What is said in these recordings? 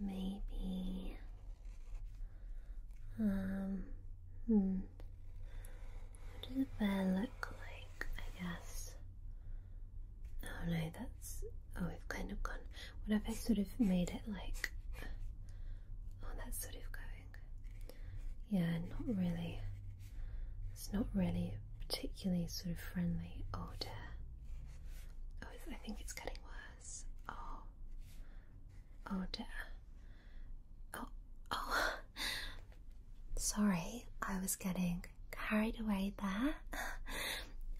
Maybe. Um, hmm. What does a bear look like? I guess. Oh no, that's. Oh, we've kind of gone. What if I sort of made it like. Oh, that's sort of going. Yeah, not really. It's not really particularly sort of friendly. Oh Oh, I think it's getting worse. Oh. Oh, dear. Oh, oh. Sorry, I was getting carried away there.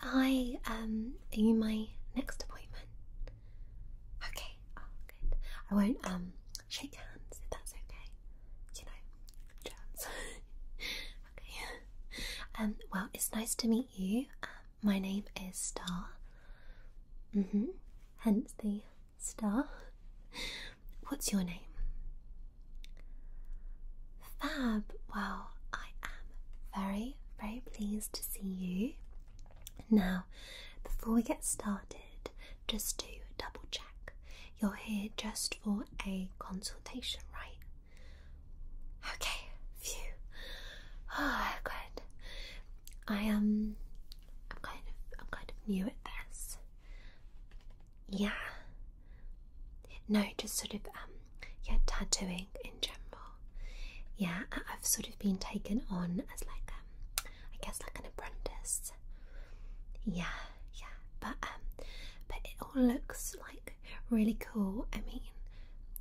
I, um, are you my next appointment? Okay, oh, good. I won't, um, shake hands if that's okay. You know, germs. okay. Um, well, it's nice to meet you. my name is Star. hmm. Hence the star. What's your name? Fab. Well, I am very, very pleased to see you. Now, before we get started, just do a double check, you're here just for a consultation, right? Okay, phew. Oh, good. I Um, I'm kind of. I'm kind of new at this. Yeah. No, just sort of. Um, yeah, tattooing in general. Yeah, I've sort of been taken on as like um, I guess like an apprentice. Yeah, yeah, but um, but it all looks like really cool. I mean,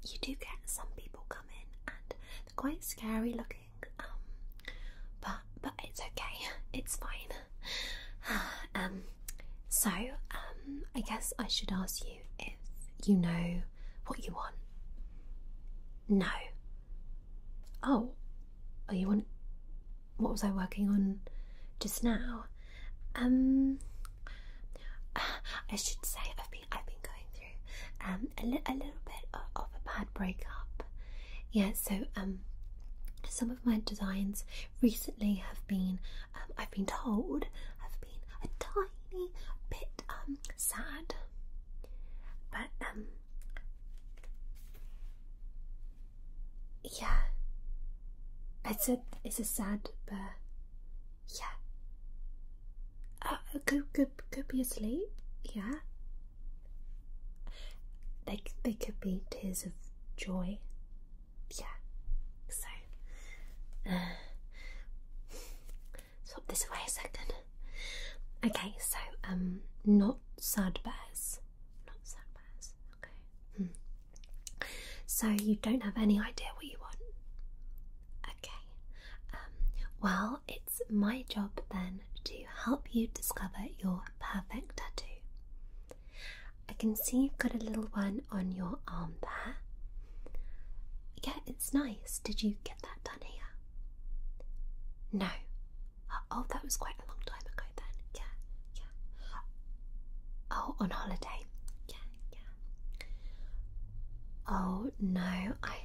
you do get some people come in and they're quite scary looking, um, but but it's okay, it's fine. um, so um, I guess I should ask you if you know what you want. No. Oh, oh, you want? What was I working on just now? Um, I should say I've been I've been going through um, a, little bit of, a bad breakup. Yeah, so um, some of my designs recently have been um, I've been told have been a tiny bit um sad, but um yeah, it's a it's a sad bear. Yeah. Uh, could could could be asleep. Yeah. They they could be tears of joy. Yeah. So. Uh, swap this away a second. Okay. So um, not sad bears. Not sad bears. Okay. Hmm. So you don't have any idea what you want. Okay. Um, well, it's my job then to help you discover your perfect tattoo. I can see you've got a little one on your arm there. Yeah, it's nice. Did you get that done here? No. Oh, that was quite a long time ago then. Yeah, yeah. Oh, on holiday. Yeah, yeah. Oh no, I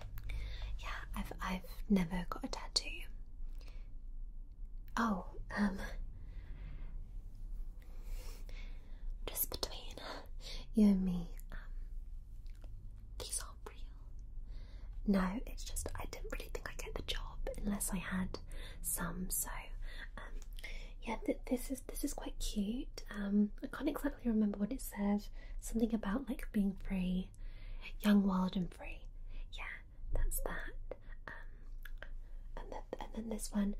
yeah, I've I've never got a tattoo. Oh, um just between you and me, um these aren't real. No, it's just I didn't really think I'd get the job unless I had some, so um yeah, this is this is quite cute. Um, I can't exactly remember what it says. Something about like being free, young, wild, and free. Yeah, that's that. Um, and then and then this one,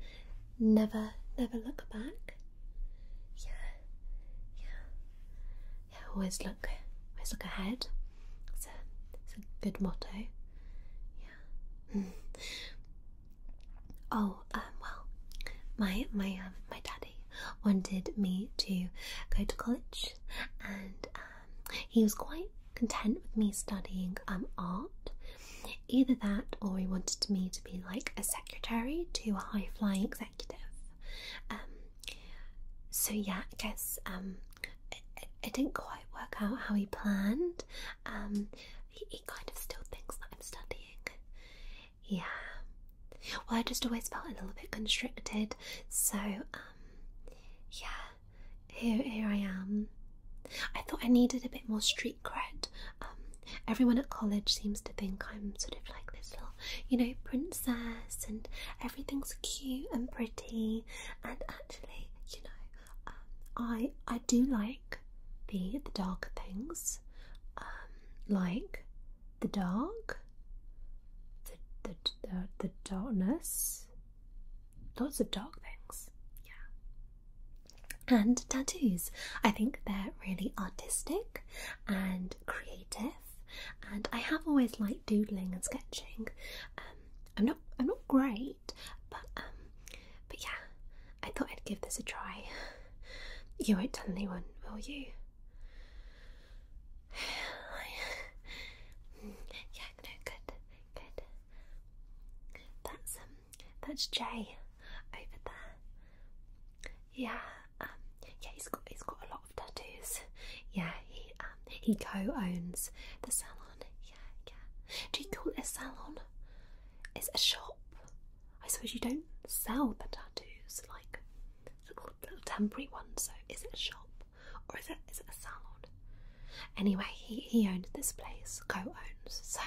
never never look back. Yeah, yeah, yeah. Always look, always look ahead. It's a it's a good motto. Yeah. Oh, um, well, my my um, my daddy wanted me to go to college, and um, he was quite content with me studying art. Either that, or he wanted me to be like a secretary to a high flying executive. Um, so yeah, I guess um, it didn't quite work out how he planned, um, he, kind of still thinks that I'm studying. Yeah. Well, I just always felt a little bit constricted, so um, yeah, here here I am. I thought I needed a bit more street cred. Um, everyone at college seems to think I'm sort of like this little, you know, princess, and everything's cute and pretty. And actually, you know, um, I I do like the the darker things, um, like the dark, the the the, darkness, lots of dark things, yeah. And tattoos, I think they're really artistic and creative. And I have always liked doodling and sketching. Um, I'm not I'm not great, but um, but yeah, I thought I'd give this a try. You won't tell anyone, will you? yeah, no, good, good. That's um, that's Jay over there. Yeah, um, yeah, he's got he's got a lot of tattoos. Yeah, he um he co-owns the salon. Yeah, yeah. Do you call it a salon? It's a shop. I suppose you don't sell the tattoos, like little, temporary ones. So is it a shop or is it is it a salon? Anyway, he he owned this place, co-owns. So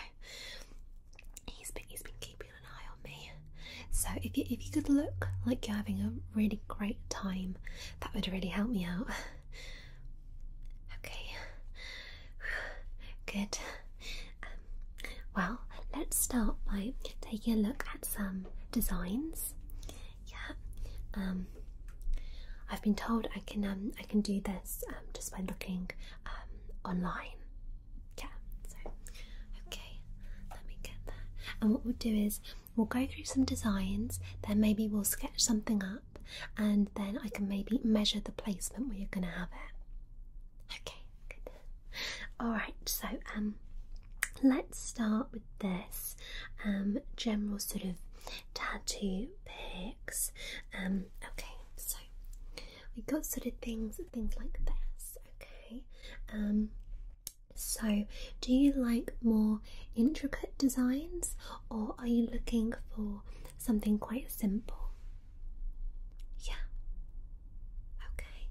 he's been he's been keeping an eye on me. So if you if you could look like you're having a really great time, that would really help me out. Okay, Good. Um, well, let's start by taking a look at some designs. Yeah. Um, I've been told I can um, I can do this um, just by looking um, online. Yeah. So, okay. Let me get that. And what we'll do is we'll go through some designs. Then maybe we'll sketch something up, and then I can maybe measure the placement where you're going to have it. Okay, Alright, so um let's start with this um, general sort of tattoo picks. Um okay, so we got sort of things things like this, okay. Um so do you like more intricate designs or are you looking for something quite simple? Yeah. Okay.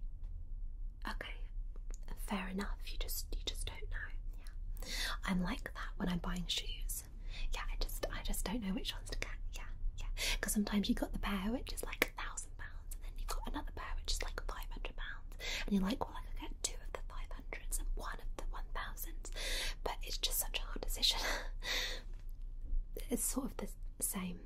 Okay. Fair enough. You just you just don't know. Yeah. I'm like that when I'm buying shoes. Yeah, I just I just don't know which ones to get. Yeah, yeah. Because sometimes you got the pair which is like a thousand pounds, and then you've got another pair which is like five hundred pounds, and you're like, well, I could get two of the five hundreds and one of the one thousands, but it's just such a hard decision. it's sort of the same.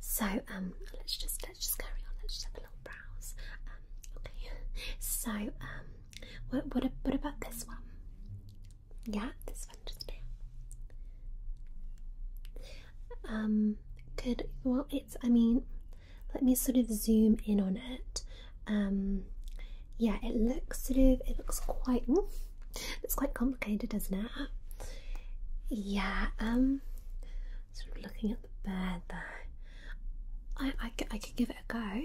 so um, let's just let's just carry on. Let's just have a little browse. Um, okay. So um, what what about this one? Yeah, this one just there. Um, could well, it's. I mean, let me sort of zoom in on it. Um, yeah, it looks sort of, it looks quite, it's quite complicated, doesn't it? Yeah, um, sort of looking at the bird there. I, I, I could give it a go.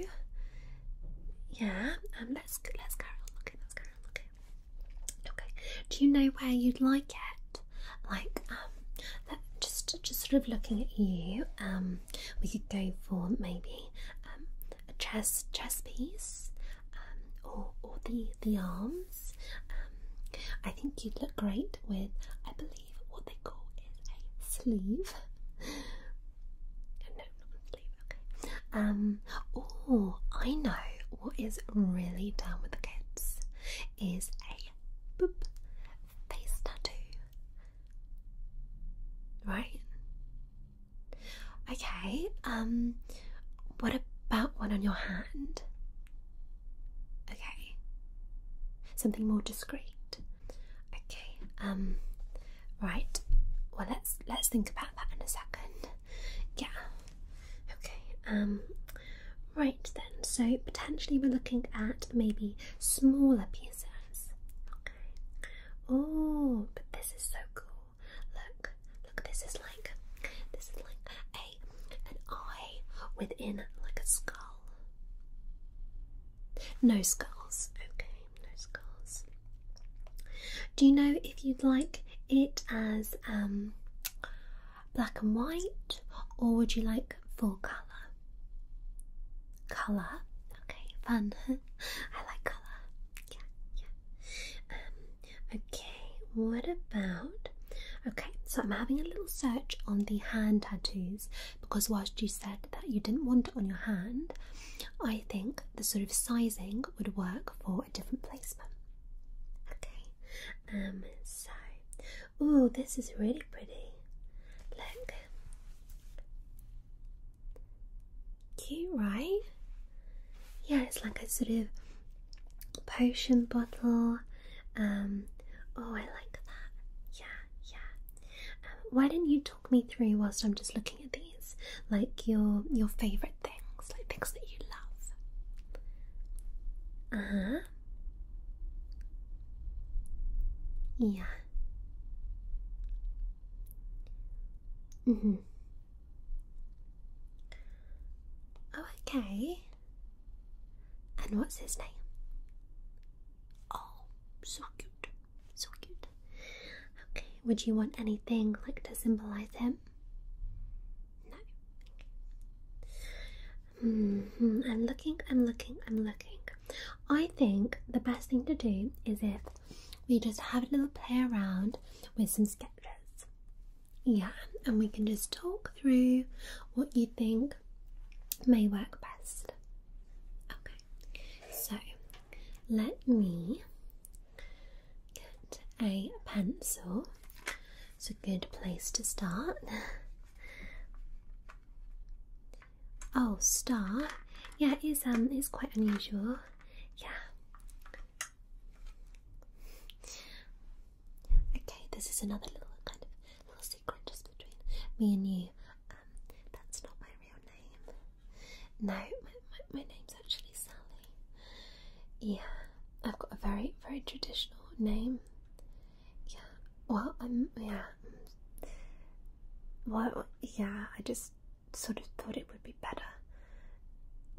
Yeah, um, let's, let's carry on let's carry on Okay, do you know where you'd like it? Like, um, just, just sort of looking at you, um, we could go for maybe um, a chest chest piece um, or, or the the arms. Um, I think you'd look great with I believe what they call is a sleeve. no, not sleeve. Um. Oh, I know what is really down with the kids is a boop face tattoo. Right? Okay, um, what about one on your hand? Okay, something more discreet. Okay, um, right. Well, let's let's think about that in a second. Yeah. Okay. Um. Right then. So potentially we're looking at maybe smaller pieces. Okay. Oh, but this is so cool. Look, look, this is like this is like a an eye within like a skull. No skulls, okay, no skulls. Do you know if you'd like it as um black and white or would you like full colour? Colour? Okay, fun. I like color. Yeah, yeah. Um, okay, what about. Okay, so I'm having a little search on the hand tattoos because whilst you said that you didn't want it on your hand, I think the sort of sizing would work for a different placement. Okay, um, so. Ooh, this is really pretty. Look, Cute, right? Yeah, it's like a sort of potion bottle. Um, oh, I like that. Yeah, yeah. Um, why don't you talk me through whilst I'm just looking at these, like your your favorite things, like things that you love. Uh Yeah. Mm-hmm. Oh, okay. And what's his name? Oh, so cute. So cute. Okay, would you want anything like to symbolize him? No. Mm hmm. I'm looking, I'm looking, I'm looking. I think the best thing to do is if we just have a little play around with some sketches. Yeah, and we can just talk through what you think may work best. Okay, so let me get a pencil. It's a good place to start. Oh, star. Yeah, it is um it's quite unusual. Yeah. Okay, this is another little kind of little secret just between me and you. Um, that's not my real name. No, my, my, my name's actually Sally. Yeah, I've got a very, very traditional name. Yeah, well, I'm, yeah, well, yeah, I just sort of thought it would be better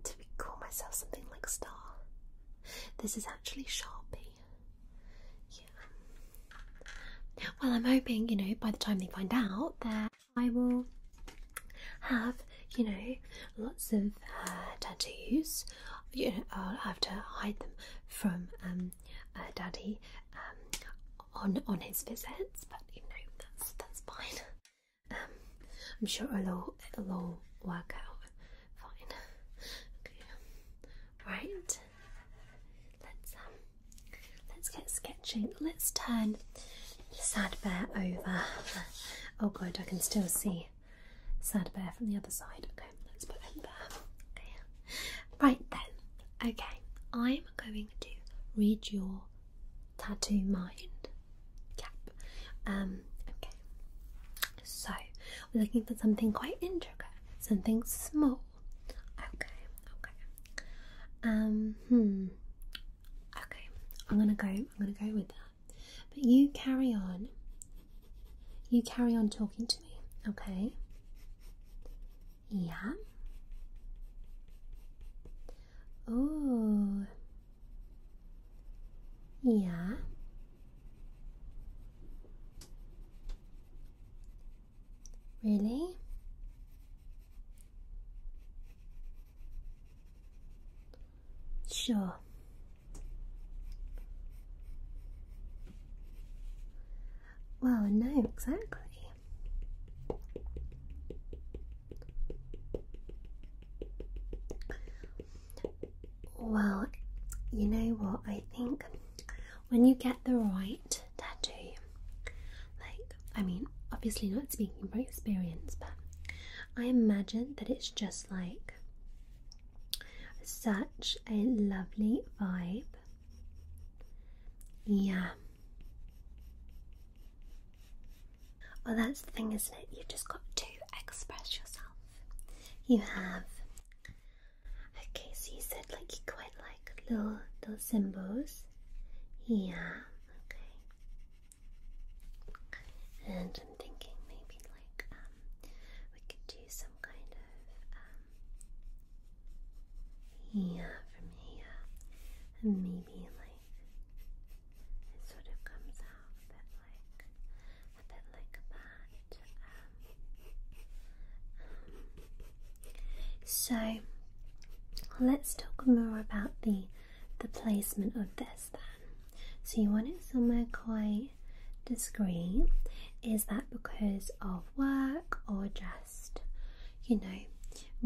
to call myself something like Star. This is actually Sharpie. Yeah. Well, I'm hoping, you know, by the time they find out that I will have, you know, lots of uh, tattoos. You know, I'll have to hide them from um, uh, Daddy um, on on his visits, but you know that's that's fine. Um, I'm sure it'll all, it'll work out fine. Okay, right. Let's um, let's get sketching. Let's turn Sad Bear over. Oh god, I can still see Sad Bear from the other side. Okay, let's put him there right then, okay, I'm going to read your tattoo mind um, okay, so we're looking for something quite intricate, something small. Okay, okay. Um, hmm. Okay, I'm gonna go. I'm gonna go with that. But you carry on. You carry on talking to me, okay? Yeah. Oh. Yeah. Really? Sure. Well, no, exactly. Well, you know what? I think when you get the right tattoo, like, I mean, obviously, not speaking from experience, but I imagine that it's just like such a lovely vibe yeah. Well, that's the thing, isn't it? You've just got to express yourself. You have. Okay, so you said like you quite like little little symbols. Yeah. Okay. And I'm thinking maybe like um we could do some kind of um yeah, for me, and maybe like it sort of comes out that like a bit like that. Um, so let's talk more about the the placement of this then. So you want it somewhere quite discreet. Is that because of work or just you know,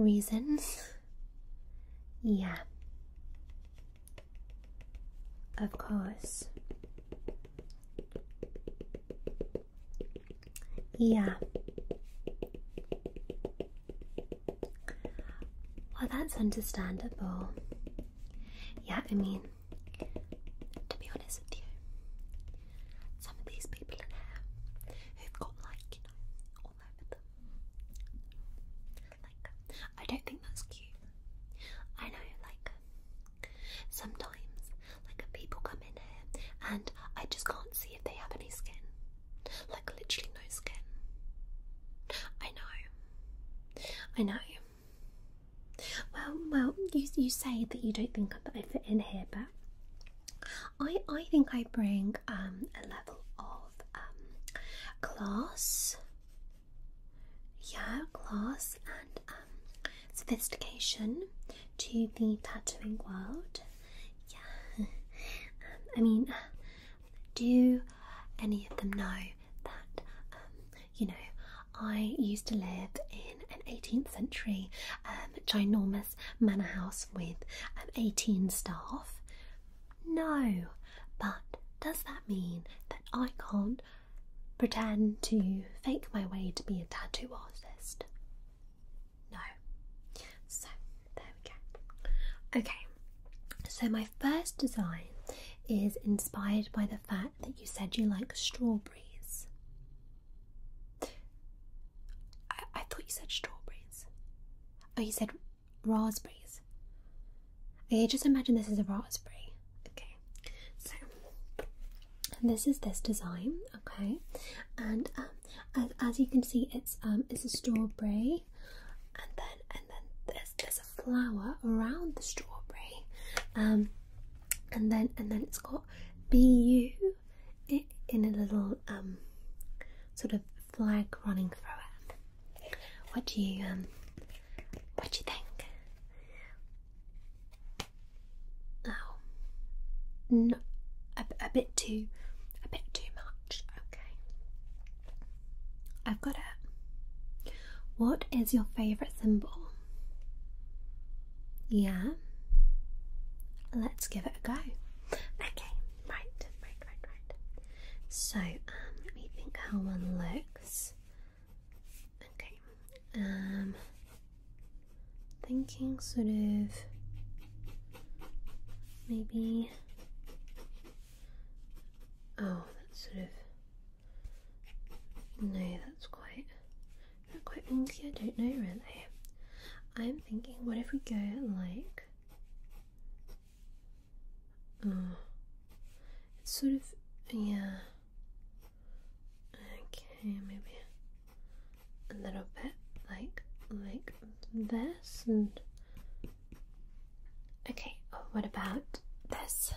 reasons. Yeah. Of course. Yeah. Well, that's understandable. Yeah, I mean, to be honest with you, some of these people in here who've got like, all over them. Like, I don't think that's cute. I know, like, sometimes, like, people come in here and I just can't see if they have any skin. Like, literally, no skin. I know. I know. Well, well, you you say that you don't think that I fit in here, but I I think I bring um, a level of um, class, yeah, class and um, sophistication to the tattooing world. Yeah, I mean, do any of them know that you know I used to live in an 18th century uh, ginormous manor house with 18 staff? No, but does that mean that I can't pretend to fake my way to be a tattoo artist? No. So there we go. Okay, so my first design is inspired by the fact that you said you like strawberries. I, thought you said strawberries. Oh, you said raspberries. Okay, just imagine this is a raspberry. Okay, so this is this design. Okay, and um, as, as you can see, it's um, it's a strawberry, and then and then there's there's a flower around the strawberry, um, and then and then it's got B U in a little um, sort of flag running through it. What do you um, what do you think? Oh, no, a, a bit too, a bit too much. Okay, I've got it. What is your favorite symbol? Yeah. Let's give it a go. Okay, right, right, right, right. So, um, let me think how one looks. Okay, um, thinking sort of maybe. Oh, that's sort of. No, that's quite. Not quite winky, I don't know really. I'm thinking, what if we go like. Oh. It's sort of. Yeah. Okay, maybe a little bit like like this and okay oh, what about this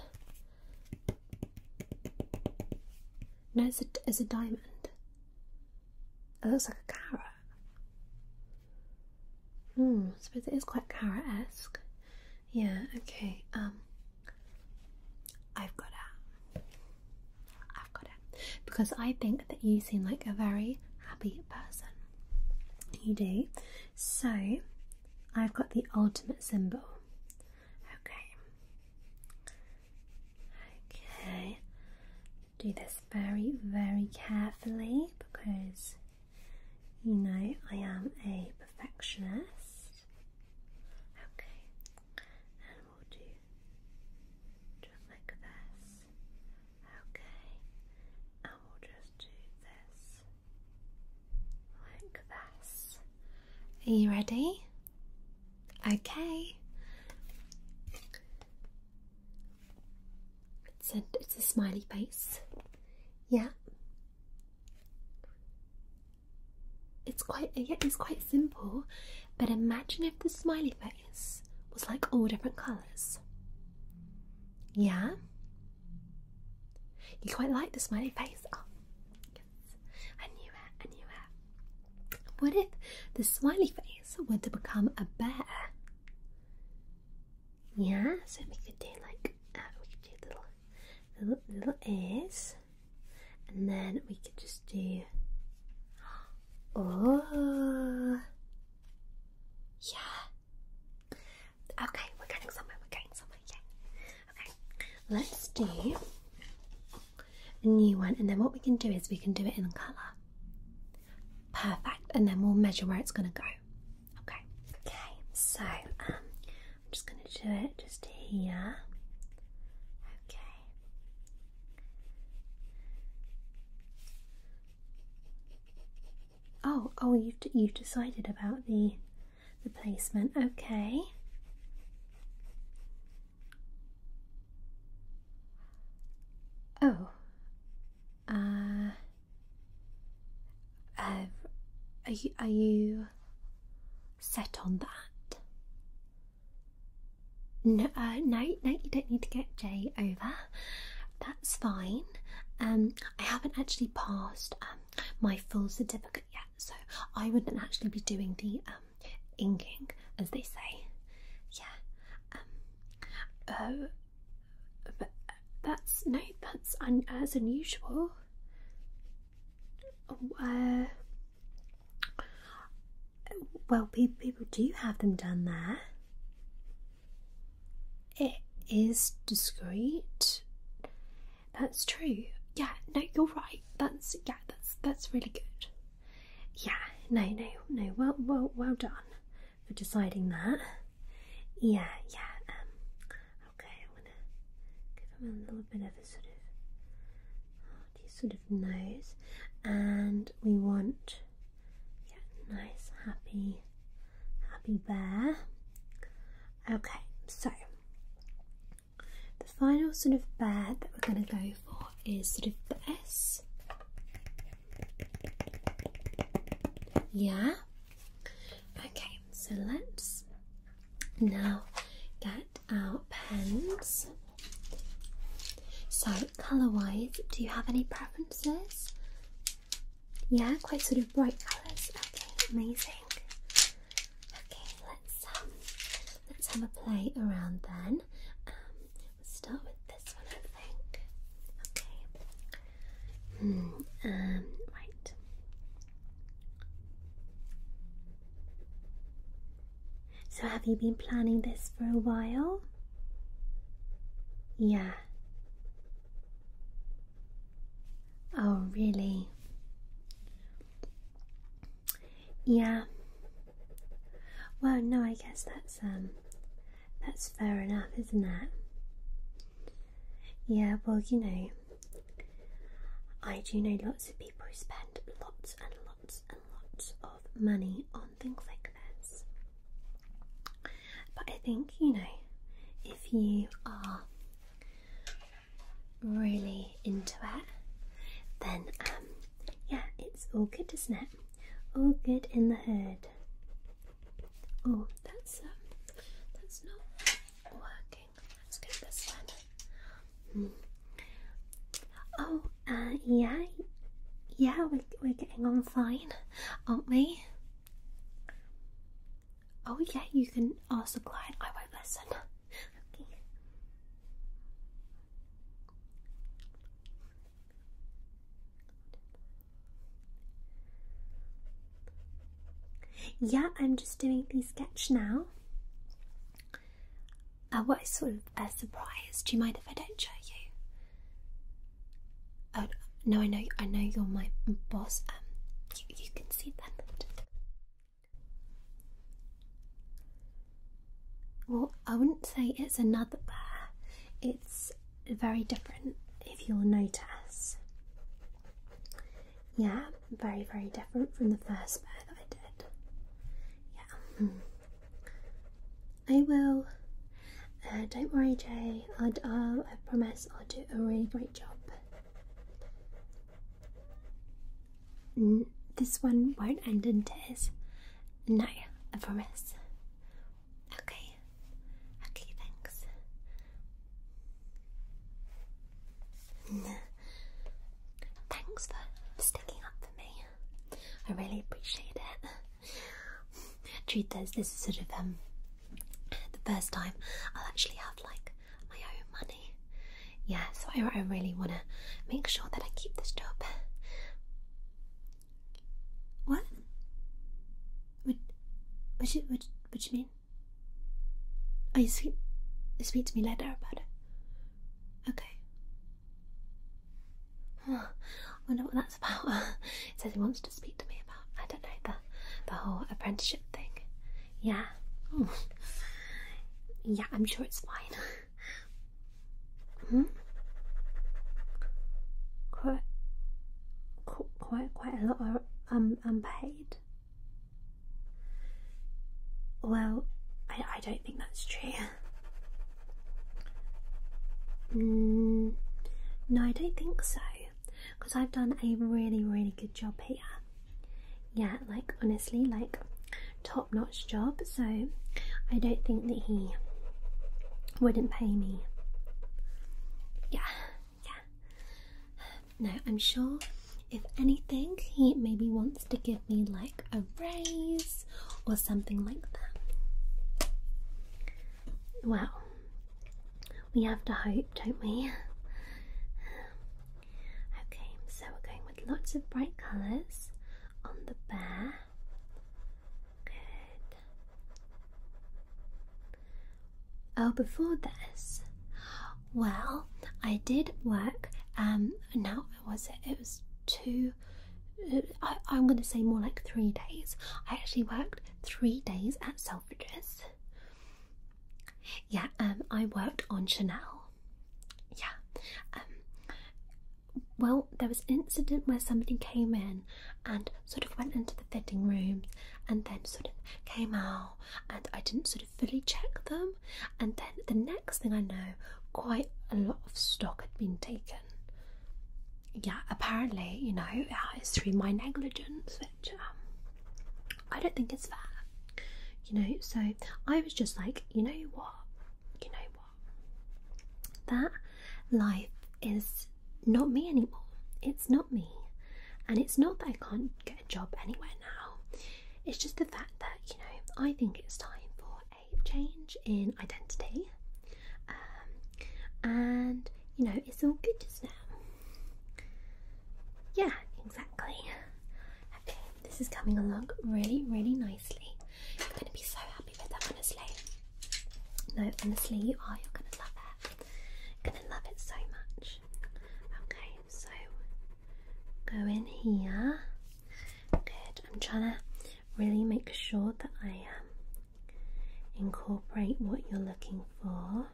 no, it's a, diamond. It looks like a carrot. Hmm, I suppose it is quite carrot-esque. Yeah, okay, um, I've got it. I've got it. Because I think that you seem like a very happy person. You do. So, I've got the ultimate symbol. Okay. Okay. Do this very, very carefully because you know I am a perfectionist. Okay. And we'll do just like this. Okay. And we'll just do this like this. Are you ready? Okay. It's a, smiley face. Yeah. It's quite yeah, it's quite simple, but imagine if the smiley face was like all different colours. Yeah. You quite like the smiley face. Oh. I knew it, I knew it. What if the smiley face were to become a bear? Yeah, so we could do like, uh, we could do little, little, little ears, and then we could just do, oh, yeah. Okay, we're getting somewhere, we're getting somewhere, yeah. Okay, let's do a new one, and then what we can do is we can do it in colour. Perfect, and then we'll measure where it's going to go. Okay, okay, so um, I'm just going to do it just here. Okay. Oh, oh, you you've decided about the the placement. Okay. Oh. Uh. Uh, are you, are you set on that? No, uh, no, no, you don't need to get Jay over. That's fine. Um, I haven't actually passed um, my full certificate yet, so I wouldn't actually be doing the um, um, inking, as they say. Yeah. Um, oh, uh, that's no, that's as unusual. well, people do have them done there. It is discreet. That's true. Yeah, no, you're right. That's yeah, that's that's really good. Yeah, no, no, no. Well, well, well done for deciding that. Yeah, yeah. Um, okay, I'm gonna give him a little bit of a sort of oh, sort of nose, and we want yeah, nice, happy, happy bear. Okay, so the final sort of bear that we're going to go for is sort of the S. Yeah? Okay, so let's now get our pens. So, colour wise, do you have any preferences? Yeah, quite sort of bright colours. Okay, amazing. Okay, let's um, let's have a play around then. Um, let's start with this one, I think. Okay. Hmm, um. Right. So, have you been planning this for a while? Yeah. Oh, really? Yeah. Well, no, I guess that's um, that's fair enough, isn't it? Yeah. Well, you know, I do know lots of people who spend lots and lots and lots of money on things like this, but I think you know, if you are really into it, then um, yeah, it's all good, isn't it? All good in the hood. Oh, that's um, that's not working. Let's get this one. Hmm. Oh, uh, yeah, yeah, we're we're getting on fine, aren't we? Oh yeah, you can ask the client. I won't listen. Okay. Yeah, I'm just doing the sketch now. Uh, what is sort of a surprise? Do you mind if I don't show you? Oh no, I know, I know you're my boss. Um, you, you can see that. Well, I wouldn't say it's another bear, it's very different if you'll notice. Yeah, very, very different from the first bear that I did. Yeah. I will. Uh, don't worry, Jay. Uh, I promise I'll do a really great job this one won't end in tears. No, I promise. Okay. Okay, thanks. Thanks for sticking up for me. I really appreciate it. Truth is, this is sort of um the first time I'll actually have like my own money. Yeah, so I, I really want to make sure that I keep this job. What? What? What you, what, what you mean? Oh, you speak, you speak to me later about it. Okay. I wonder what that's about. He says he wants to speak to me about, I don't know, the, the whole apprenticeship thing. Yeah. Hmm. Yeah, I'm sure it's fine. hmm? Quite, quite, quite a lot are um, unpaid. Well, I, don't think that's true. Mm, no, I don't think so. Because I've done a really, really good job here yeah, like honestly, like top notch job. So I don't think that he wouldn't pay me. Yeah, yeah. No, I'm sure if anything, he maybe wants to give me like a raise or something like that. Well, we have to hope, don't we? Okay, so we're going with lots of bright colours on the bear. Good. Oh, before this, well, I did work. Um, now was it? It was two. Uh, I'm going to say more like three days. I actually worked three days at Selfridges. Yeah, um, I worked on Chanel. Yeah. Um, well, there was an incident where somebody came in and sort of went into the fitting room and then sort of came out, and I didn't sort of fully check them. And then the next thing I know, quite a lot of stock had been taken. Yeah, apparently, you know, it's through my negligence, which um, I don't think it's fair, you know. So I was just like, you know what, you know what, that life is not me anymore. It's not me, and it's not that I can't get a job anywhere now. It's just the fact that you know I think it's time for a change in identity, um, and you know it's all good just now. Yeah, exactly. this is coming along really, really nicely. You're going to be so happy with that, honestly. No, honestly, you are. You're going to love it. You're going to love it so much. Okay, so go in here. Good. I'm trying to really make sure that I um, incorporate what you're looking for.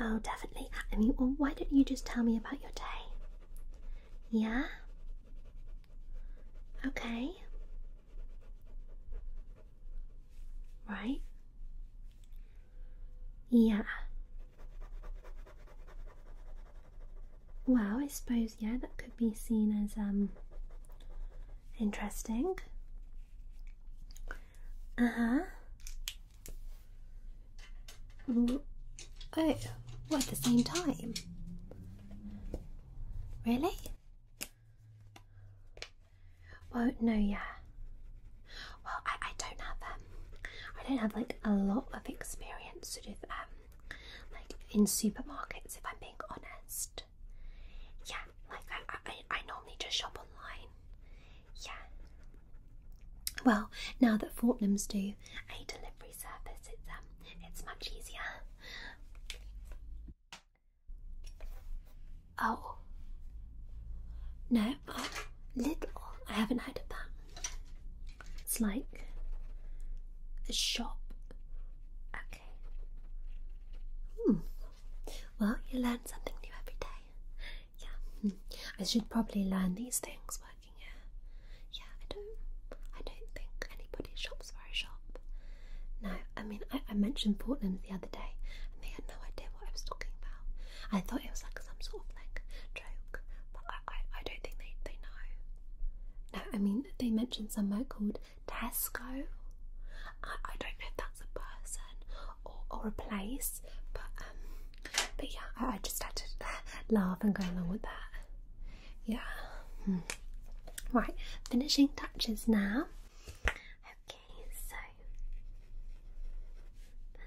Oh, definitely. I mean, well, why don't you just tell me about your day? Yeah? Okay. Right? Yeah. Well, I suppose, yeah, that could be seen as um interesting. Uh huh. Mm-hmm. Oh, at the same time. Really? Well, no, yeah. Well, I, I don't have um, I don't have like a lot of experience sort of um, like in supermarkets. If I'm being honest, yeah. Like I, I, I normally just shop online yeah. Well, now that Fortnum's do a delivery service, it's um, it's much easier. Oh. No, oh, little. I haven't heard of that. It's like a shop. Okay. Hmm. Well, you learn something new every day yeah, hmm. I should probably learn these things working here. Yeah, I don't, I don't think anybody shops where I shop. No, I mean, I, mentioned Portland the other day, and they had no idea what I was talking about. I thought it was like some sort of like joke, but I, I, don't think they, they know. No, I mean, they mentioned someone called Tesco. I, I don't know if that's a person or, a place, but um, but yeah, I, just had to laugh and go along with that. Yeah. Hmm. Right, finishing touches now. Okay, so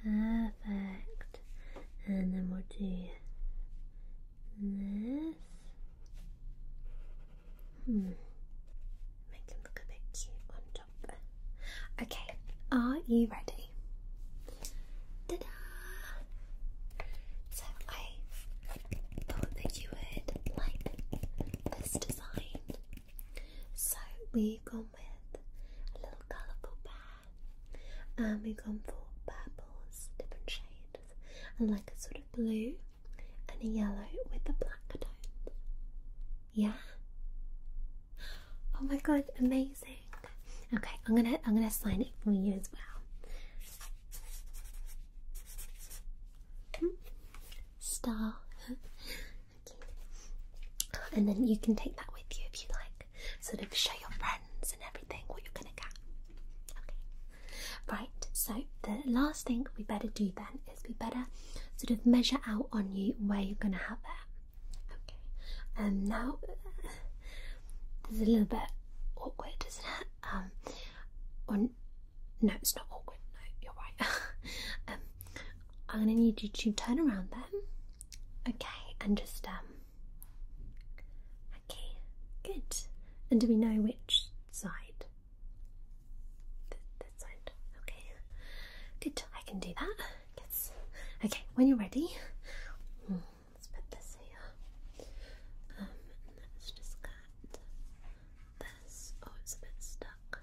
perfect, and then we'll do this. Hmm. Make him look a bit cute Okay, are you ready? So I thought that you would like this design. So we've gone with a little colourful bear, and um, we've gone for purples, different shades, and like a sort of blue and a yellow with the black tones. Yeah? Oh my god, amazing. Okay, I'm gonna I'm gonna sign it for you as well. Hmm. Star. And then you can take that with you if you like. Sort of show your friends and everything what you're gonna get. Okay. Right, so the last thing we better do then then it's be better sort of measure out on you where you're going to have it. Okay, and um, now there's a little bit awkward, isn't it? Um, no, it's not awkward. No, you're right. um, I'm going to need you to turn around then. Okay, and just um. Okay, good. And do we know which side? Okay. Good. I can do that. Okay. When you're ready, hmm. let's put this here. Um, let's just get this. Oh, it's a bit stuck.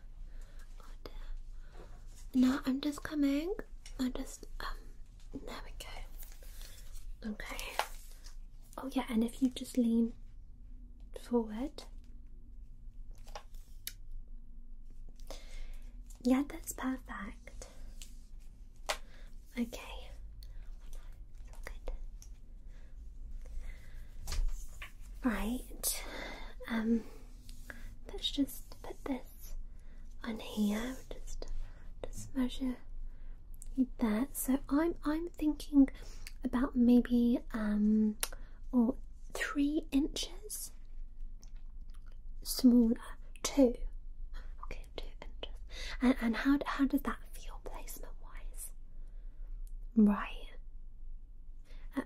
Oh dear. No, I'm just coming. I am just um. There we go. Okay. Oh yeah, and if you just lean forward, yeah, that's perfect. Okay. Right. Um let's just put this on here. Just just measure that. So I'm I'm thinking about maybe um three inches smaller, two. Okay, two inches. And and how how does that feel placement wise? Right.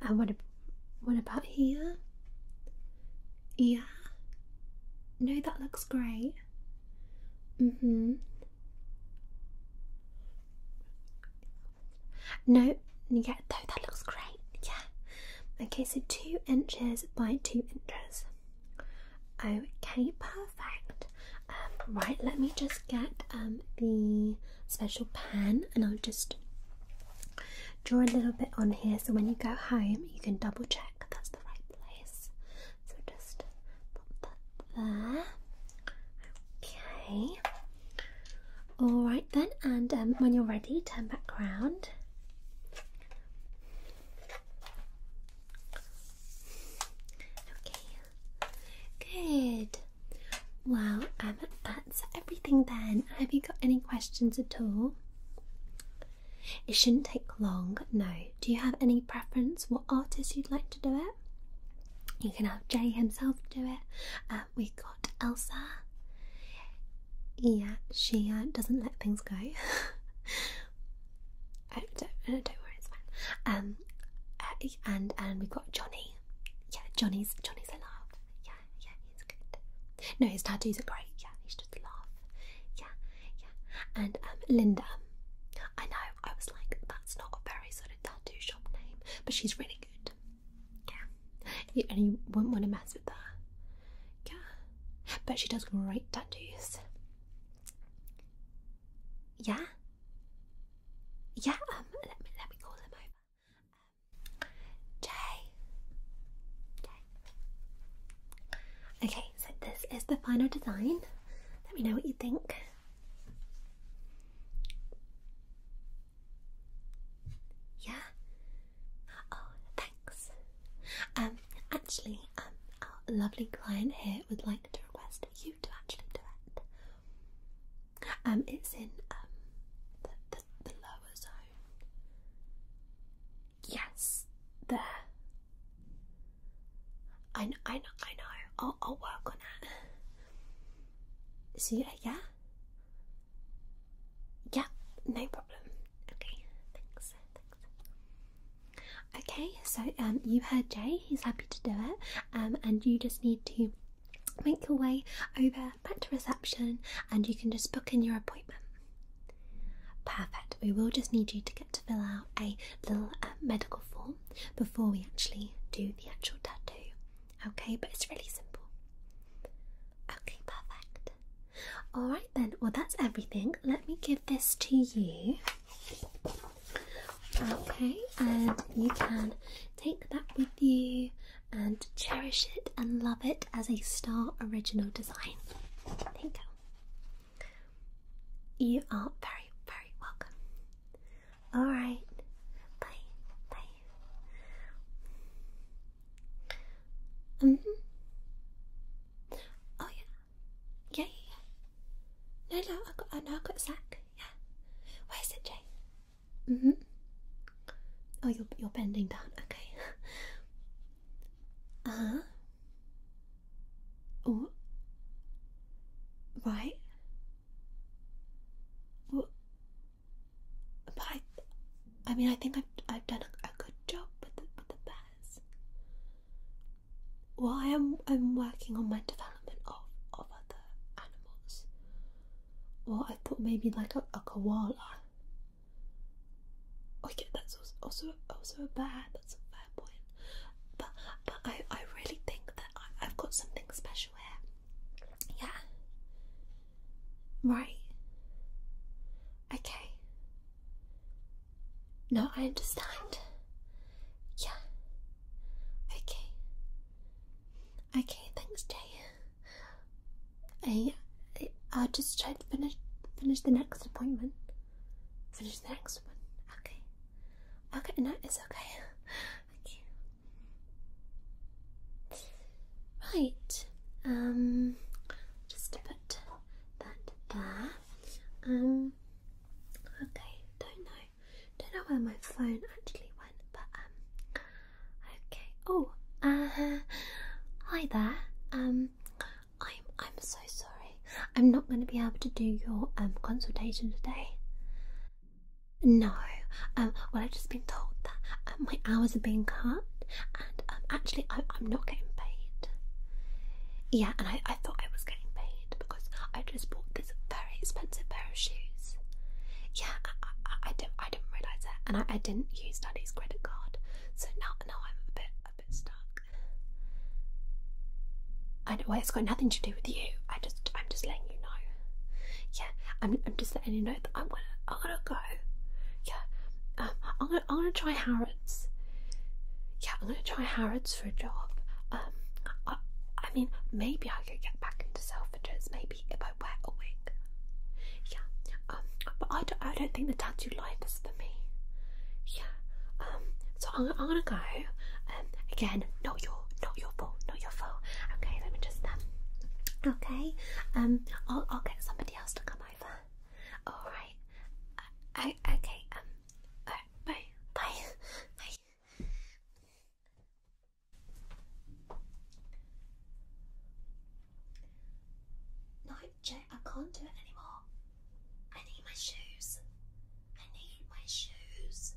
And, what about here? Yeah. No, that looks great. Mm hmm. No, yeah, no, that looks great. Yeah. Okay, so two inches by two inches. Okay, perfect. Um, right, let me just get um, the special pen and I'll just draw a little bit on here so when you go home you can double check that's the right place. So just pop that there. Okay. All right then, and um, when you're ready, turn back around. Okay, good. Well, um, that's everything then. Have you got any questions at all? It shouldn't take long, no. Do you have any preference what artist you'd like to do it? You can have Jay himself do it, uh, we got Elsa. Yeah, she uh, doesn't let things go. Uh, don't, worry, it's fine. Um, uh, and and we've got Johnny. Yeah, Johnny's Johnny's a laugh. Yeah, yeah, he's good. No, his tattoos are great. Yeah, he's just a laugh. Yeah, yeah. And um, Linda. I know. I was like, that's not a very sort of tattoo shop name, but she's really good. Yeah. and you wouldn't want to mess with that. Yeah. But she does great tattoos. Yeah? Yeah, um, let me let me call him over. Um, Jay. Jay. Okay, so this is the final design. Let me know what you think. Yeah. Oh, thanks. Um, actually, um, our lovely client here would like to request you to actually do it. Um, it's in um the the, lower zone. Yes, there. I know, I know, I know. I'll, I'll work on it. See yeah, yeah, yeah, no problem. Okay, thanks. thanks. Okay, so um, you heard Jay, he's happy to do it, um, and you just need to make your way over back to reception and you can just book in your appointment. Perfect. We will just need you to get to fill out a little uh, medical form before we actually do the actual tattoo. Okay, but it's really simple. Okay, perfect. Alright then, well, that's everything. Let me give this to you. Okay, and you can take that with you and cherish it and love it as a star original design. There you go. You are very, very welcome. All right. Bye. Bye. Mhm. oh yeah. Yeah, yeah, yeah. No, no, I got, no, I got Zach. Yeah. Where's it, Jay? Mhm. oh, you're you're bending down. Okay. uh huh. Oh. Right. What? but I, mean, I think I've I've done a, good job with the with the bears. Well, I am I'm working on my development of of other animals. Well, I thought maybe like a, a koala. Okay, oh, that's also also a bear. That's a fair point. But but I I really think that I've got something special here. Yeah. Right. Okay. No, I understand. Yeah. Okay. Okay, thanks, Jay. I, I will just try to finish finish the next appointment. Finish the next one. Okay. Okay, no, it's okay. Okay. Right, um, just to put that there. Um, okay, don't know, don't know where my phone actually went, but um, okay. Oh, uh, hi there. Um, I'm I'm so sorry. I'm not going to be able to do your um consultation today. No, um, well, I've just been told that um, my hours are being cut, and um, actually, I, am not getting paid. Yeah, and I, thought I was getting paid because I just bought this very expensive pair of shoes. Yeah, I, do not I didn't realise that, and I, didn't use Daddy's credit card, so now, now I'm a bit, a bit stuck. I well, it's got nothing to do with you. I just, I'm just letting you know. Yeah, I'm. just letting you know that I'm gonna. I'm gonna go. Yeah, um, I'm gonna. I'm gonna try Harrods. Yeah, I'm gonna try Harrods for a job. Um, I. mean, maybe I could get back into Selfridges. Maybe if I wear a wig. Yeah. Um, but I don't. I don't think the tattoo life is for me. Yeah. Um. So I'm. gonna go. Um. Again, not your not your phone, not your phone. Okay, let me just um okay. Um I'll I'll get somebody else to come over. Alright. Uh, okay, um bye. Bye. Bye. No, Jay, I can't do it anymore. I need my shoes. I need my shoes.